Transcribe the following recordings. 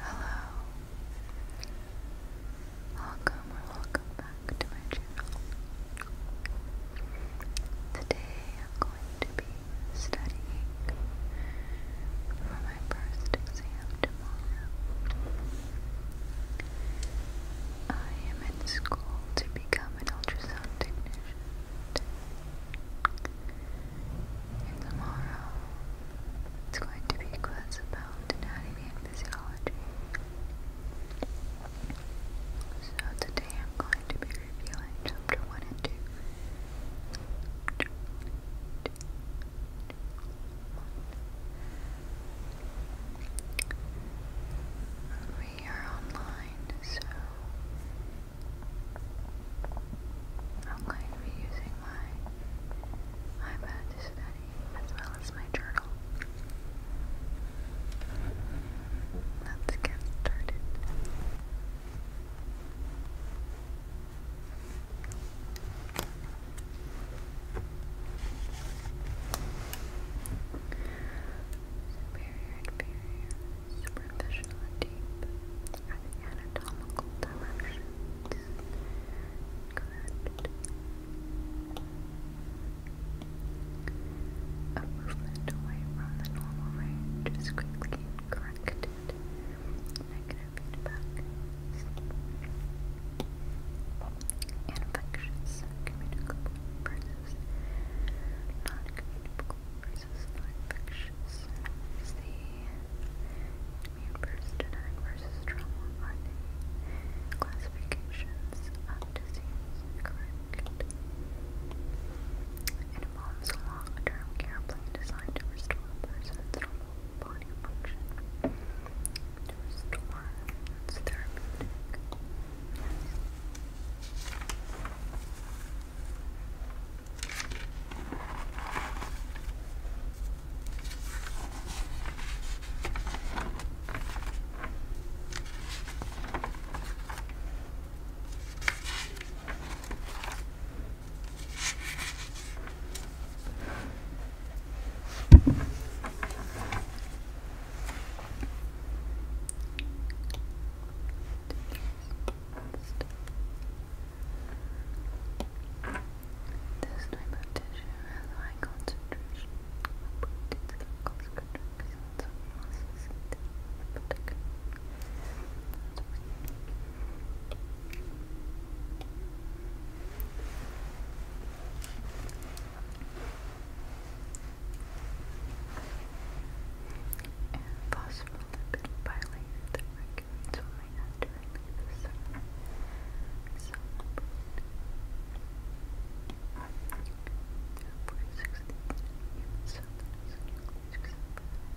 Hello. Welcome or welcome back to my channel. Today I'm going to be studying for my first exam tomorrow. I am in school to become an ultrasound technician. tomorrow it's going to be class about anatomy and physiology. So today I'm going to be reviewing chapter 1 and 2. We are online, so I'm going to be using my iPad to study as well as my journal. Let's get started. Superior, inferior, superficial, and deep anatomical directions. A movement away from the normal range is quickly corrected feedback, infectious, communicable versus non-communicable versus infectious Is the immune versus trauma are classifications of correct? It involves long-term care plan designed to restore person's normal body function to therapeutic. This type of tissue has high concentration of proteins, chemicals, contractions, and losses in particular. And phospholipid bilayer that regulates why naturally the cell nucleus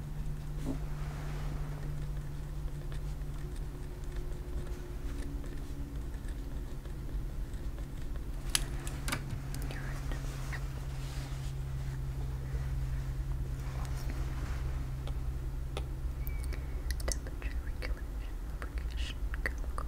you Temperature regulation, lubrication, chemical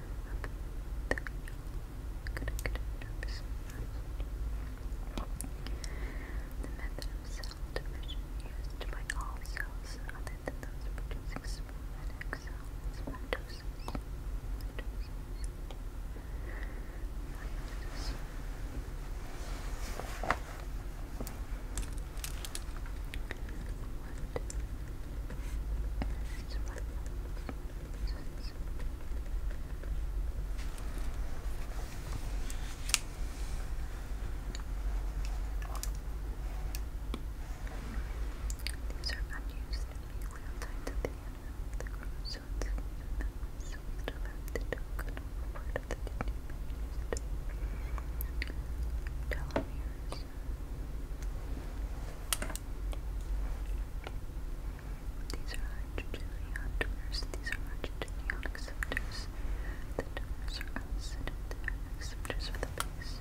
the method of cell division used by all cells other than those producing spermatic cells is guys. These are unused and usually tied to the end of the chromosomes the mouth, so we the dominant part of the these are hydrogenion donors. These are hydrogenion acceptors. The donors are opposite of their acceptors for the base.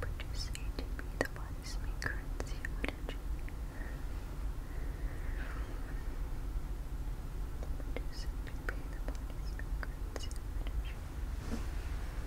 Produce ATP, the body's main currency of energy. Produce ATP, the body's main currency of energy.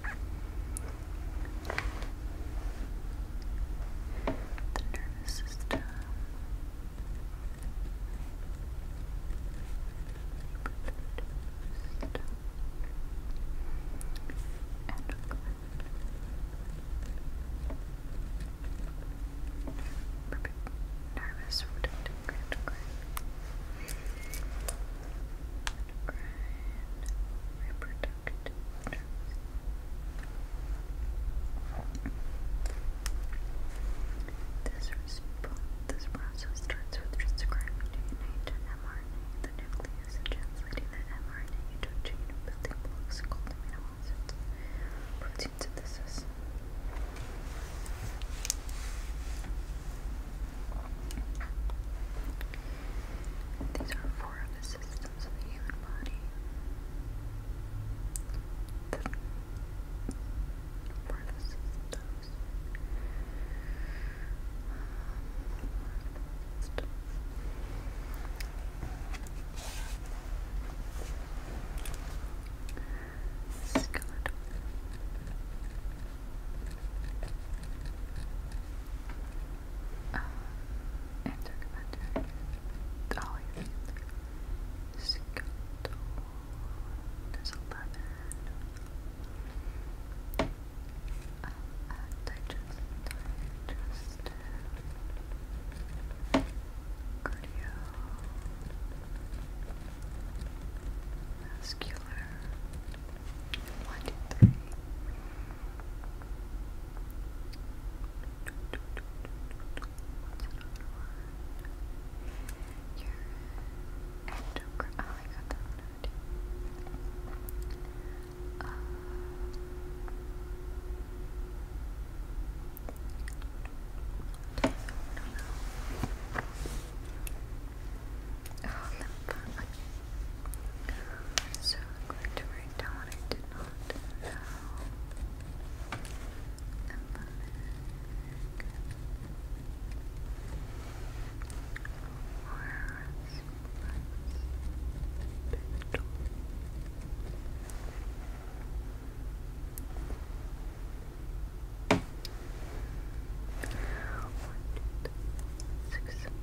The nervous system. Perfect. Nervous, protective, grand, grand reproductive this, process starts with transcribing DNA to mRNA, the nucleus, and translating that mRNA into a chain of building blocks called amino acids. Protein synthesis. These are four of the systems of the human body. The four of the systems. Um, um, and documentary. Dolly Scott. There's 11. Um, and cardio, masculine, one, two, three. What's Oh, lip. So I'm going to write down what I did not know. Six, seven,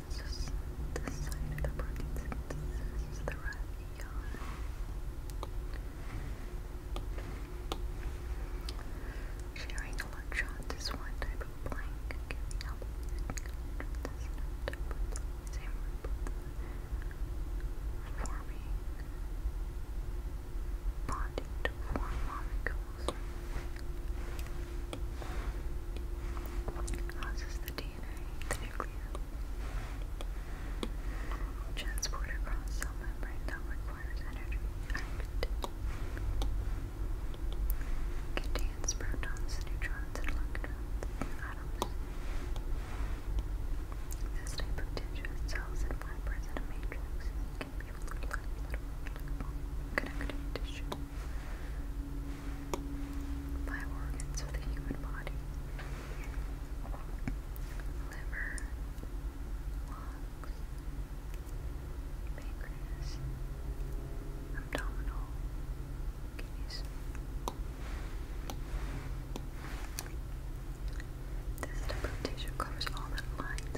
This is this side of the protein This is the right yarn. Sharing electrons is one type of blank. Giving up electrons is another to form molecules. Causes the DNA, the nuclear, transport across cell membrane that requires energy. Contains protons, neutrons, and electrons, atoms. This type of tissue cells and fibers in matrix connective tissue by organs of the human body liver, lungs, pancreas, abdominal, kidneys. This type of tissue covers all that lines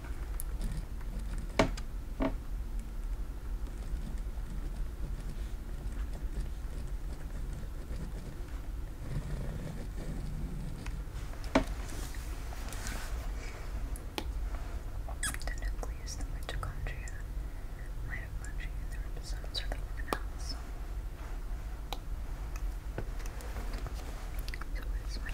The nucleus, the mitochondria, mitochondria, the ribosomes, or the organelles. So where's my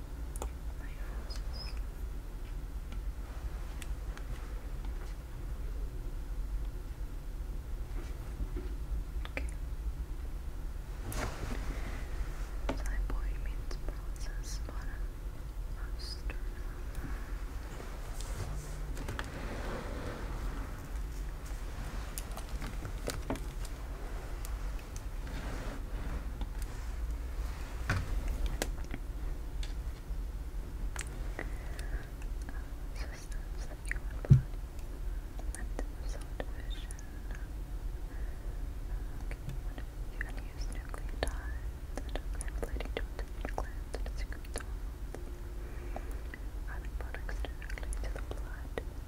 my roses. Okay. So boy means process bottom most Okay systems that your body and result vision. You can use nucleotides that are related to the glands and secretomes. Running products directly to the blood.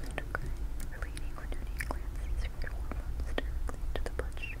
endocrine relating or donating glands, hormones directly to the bloodstream.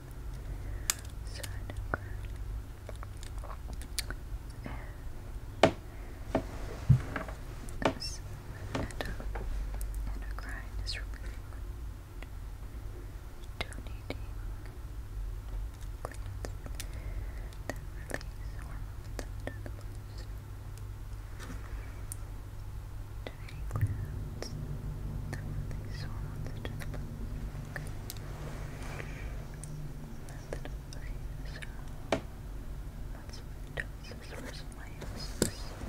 endocrine is repeated donating glands that release hormones into the bloodstream. Donating glands that release hormones into the bloodstream so that's mitosis versus meiosis. Okay.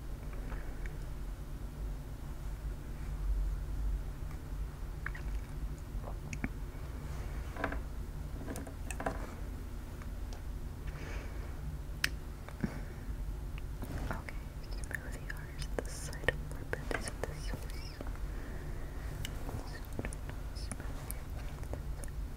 Okay, smoothie ours, the side of Morbid is the source.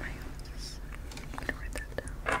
Hang on, I'm gonna write that down.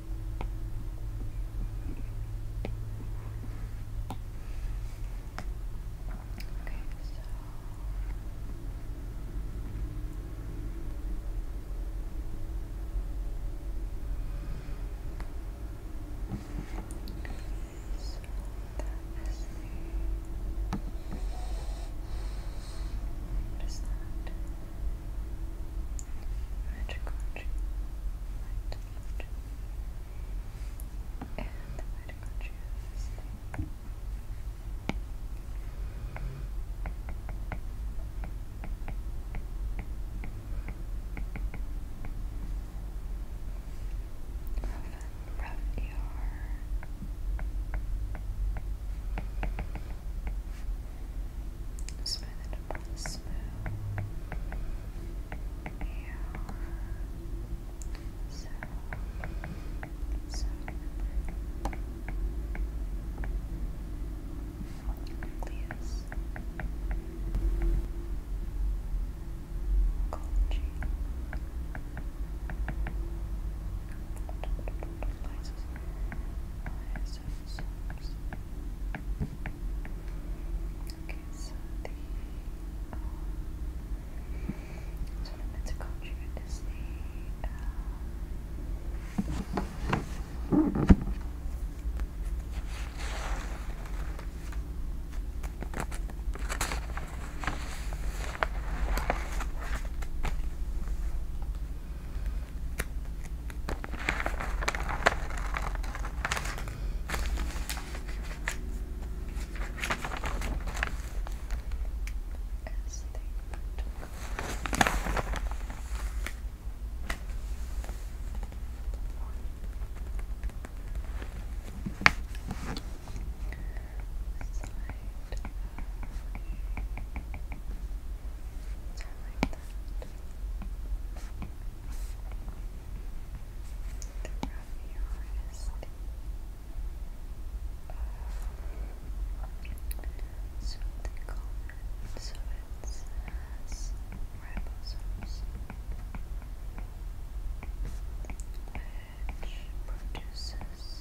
Okay, so so that is the that? magical tree, light, light. and the magical tree is this Rough ER Smooth it up really smooth. Yeah. So, so nucleus. Ecology. Lights six, six. so the um, so the Metaculture is the uh, as they Side. Sorry, that. So the so it has ribosomes, which produces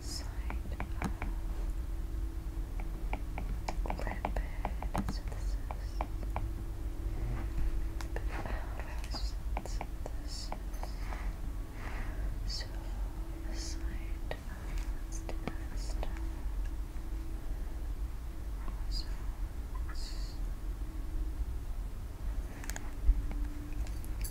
side of lipid synthesis. Lipid synthesis. So the side of let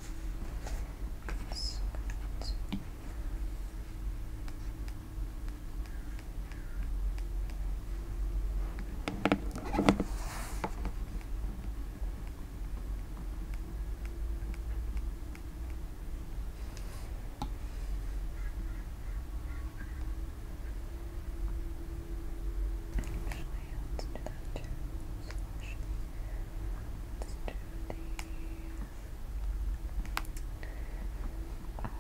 Actually, let's do that too. Let's do the um,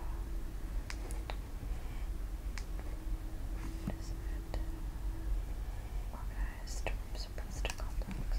what is Organized from complex. Organization complex.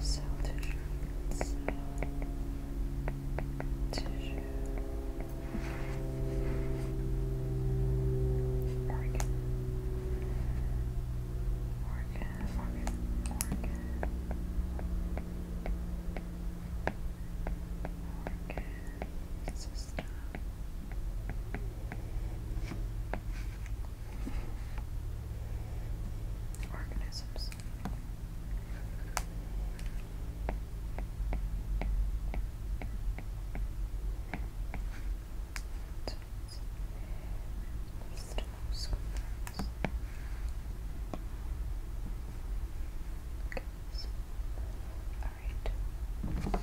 Cell tissue, so organ, organ, organ. Organ system organisms. Okay, all right.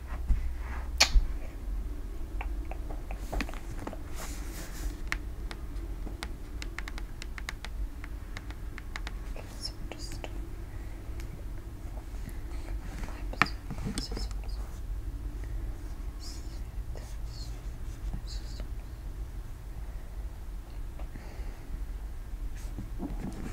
so just Okay.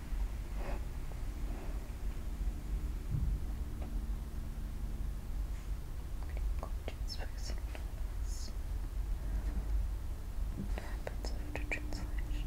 Gorgeous person happens after translation.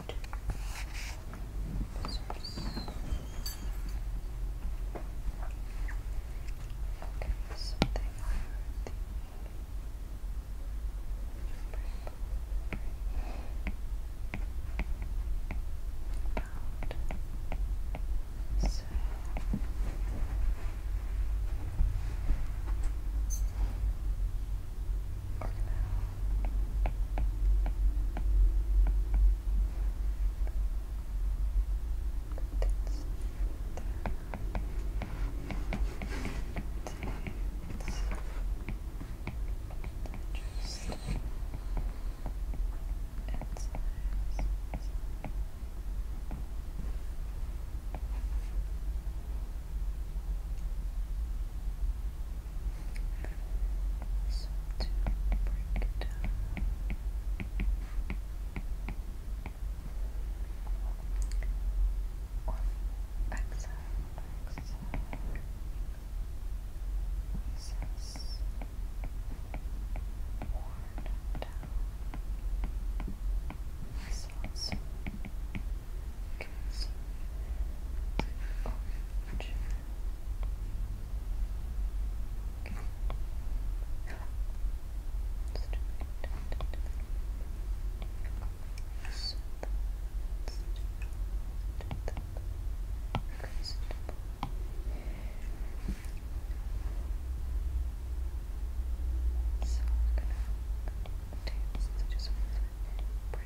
right. Okay, something the about so Okay organelle. That's just so to break down. exhale, exhale, recess, one down, recess, okay, so, oh, so we're gonna taste just one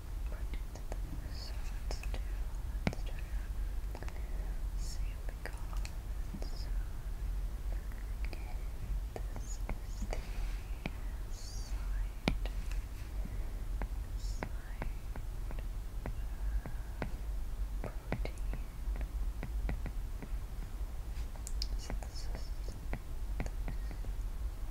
So let's do, let's do, see what we got. So, this is the side, side protein. So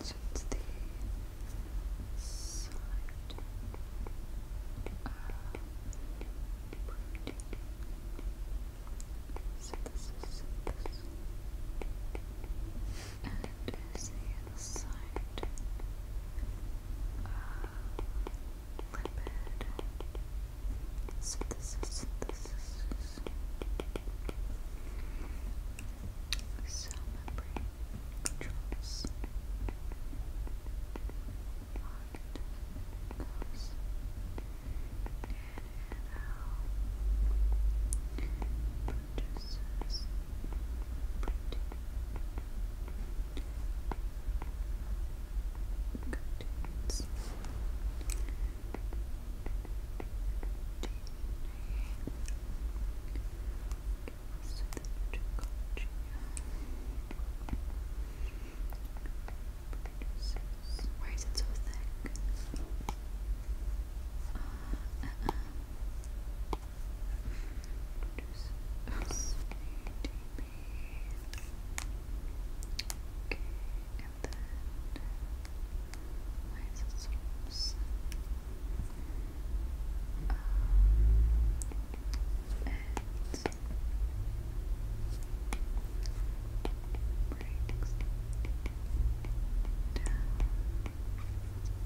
So it's the side uh, this is this. And it is the side. Uh, little bit. Synthesis, synthesis. Cell membrane controls. On goes in and out. Produces protein. Cartoons. Why is it so thick? Uh, uh, uh. Produces, and then why is it so um, and breaks down. Um,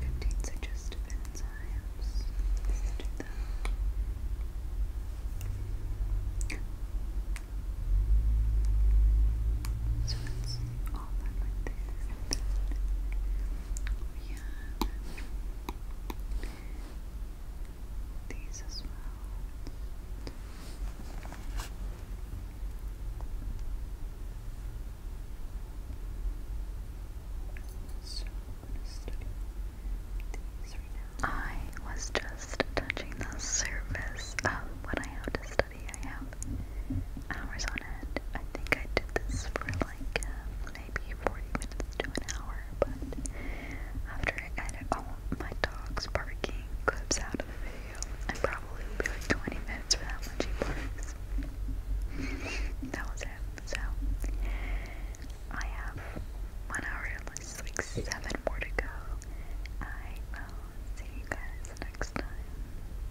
contains digestive enzymes. Let's do So it's all that right I was just touching the surface of what I have to study movie I have hours on end. I think I did this for like uh, maybe 40 minutes to an hour, but after I edit all my dogs barking clips out of the video, I probably will be like 20 minutes for that much he barks. that was it. So, I have one hour unless like seven more to go. I will see you guys next time.